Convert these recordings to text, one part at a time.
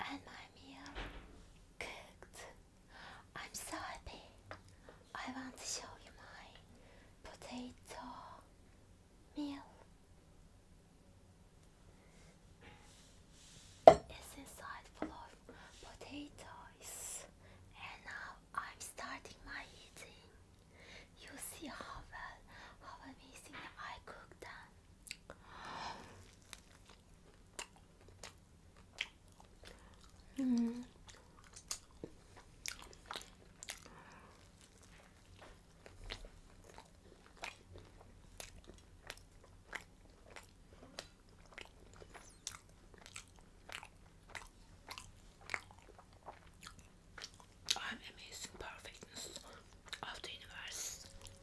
And my meal cooked. I'm so happy. I want to show you my potato meal. It's inside full of potatoes. And now I'm starting my eating. You see how well, how well I cook them. Mm. I'm amazing perfectness of the universe.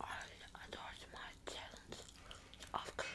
I adored my talent of cooking.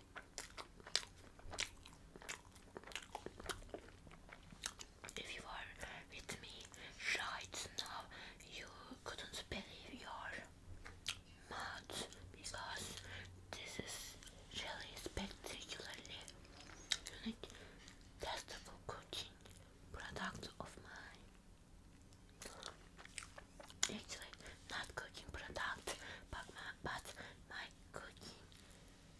If you are with me right now, you couldn't believe your mouth because this is really spectacularly unique, cooking product of mine. Actually, not cooking product, but my, but my cooking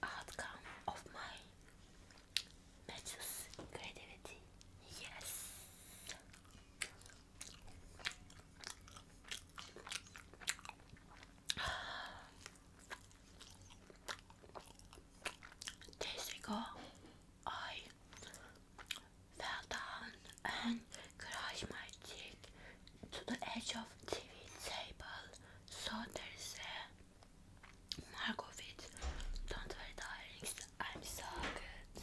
outcome of my matches creativity. Yes. Days ago, I fell down and crushed my cheek to the edge of TV table so there's a mark of it. Don't wear the I'm so good.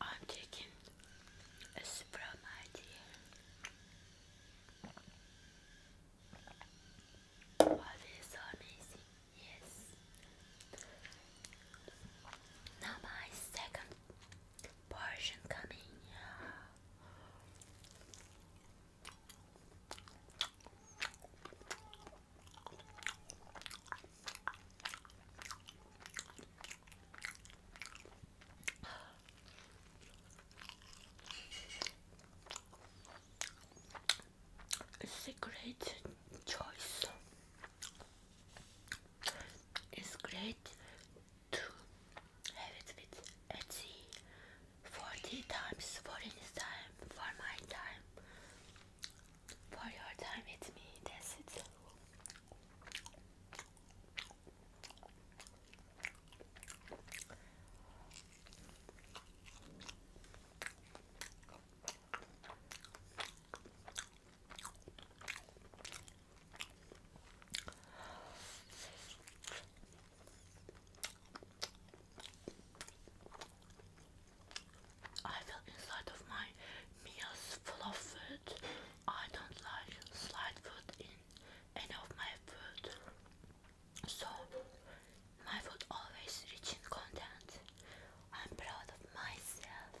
I'm taking a Supreme idea. Oh, amazing. Yes. Now my second portion coming. It's a great choice. It's great to have it with Etsy 40 times forty is time, for my time, for your time with me. That's it. I feel inside of my meals full of food. I don't like slide food in any of my food. So my food always rich in content. I'm proud of myself.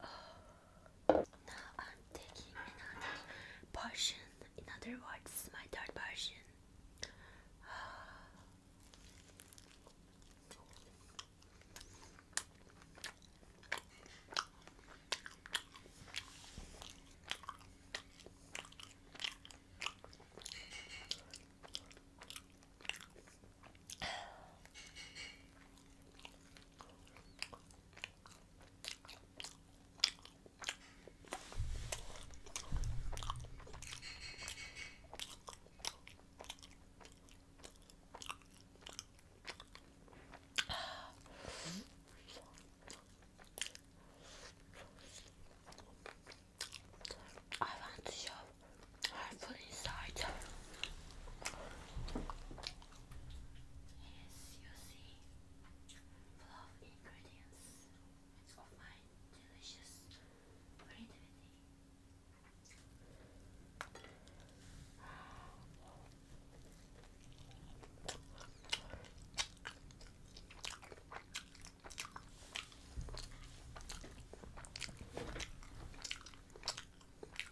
Now I'm taking another portion. In other words, my third portion. I want to show I put inside. Yes, you see, full of ingredients of my delicious creativity.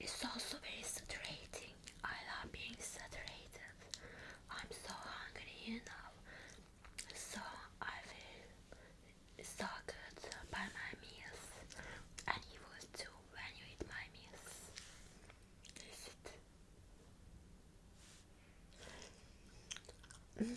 It's also very saturating. I love being saturated. I'm so hungry you know. so I feel so good by my meals, and you will too when you eat my meals.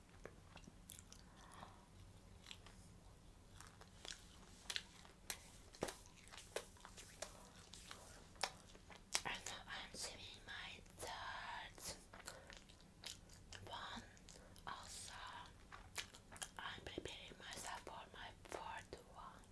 I'm seeing my third one. Also, I'm preparing myself for my fourth one.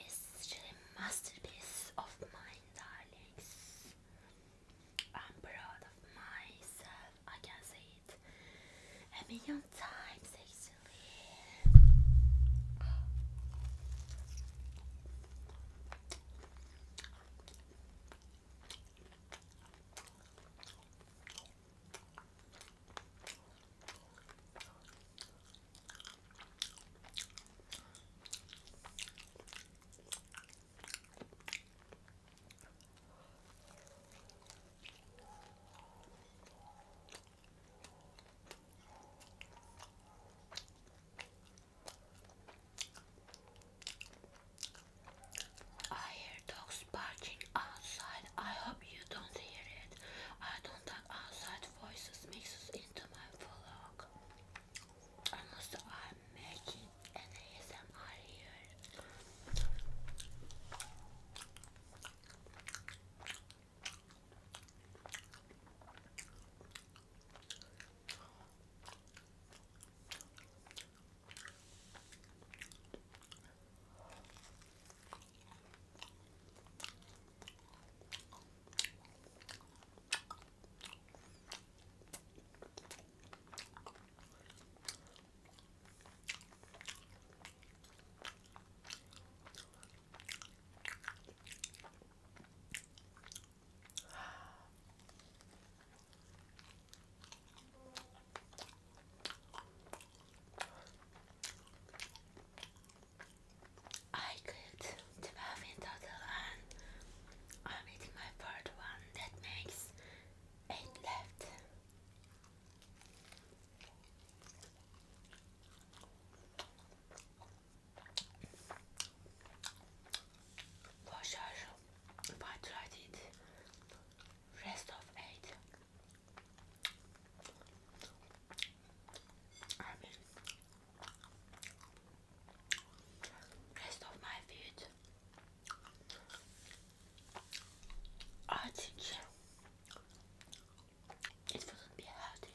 It's still masterpiece of mine, darlings. I'm proud of myself I can say it a million times actually. I hear dogs barking outside. I hope you don't hear it. I don't like outside voices mixes into my vlog. Unless I making an ASMR here. I cooked the muffin total I'm eating my third one that makes eight left. Washer, but tried it. Rest of eight. I mean, rest of my feet. I ah, think It wouldn't be healthy.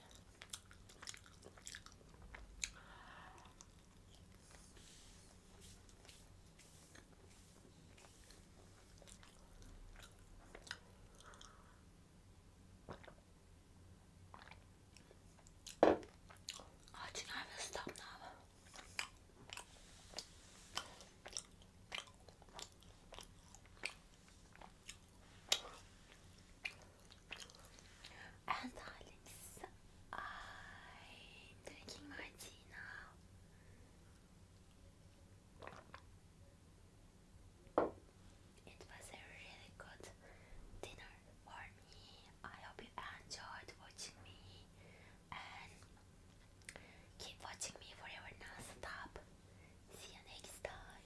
I think I will stop now. And darlings, I'm drinking my tea now. It was a really good dinner for me. I hope you enjoyed watching me keep watching me forever non-stop. See you next time.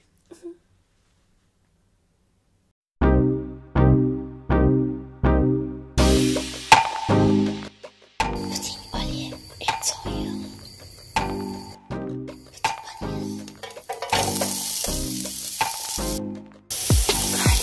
Petit palais, it's oil. Petit palais.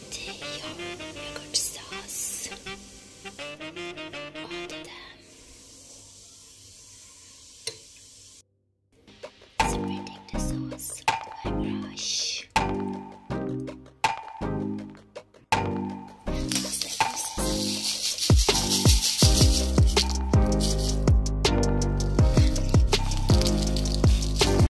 yum, yogurt sauce onto them. Spreading the sauce with my brush.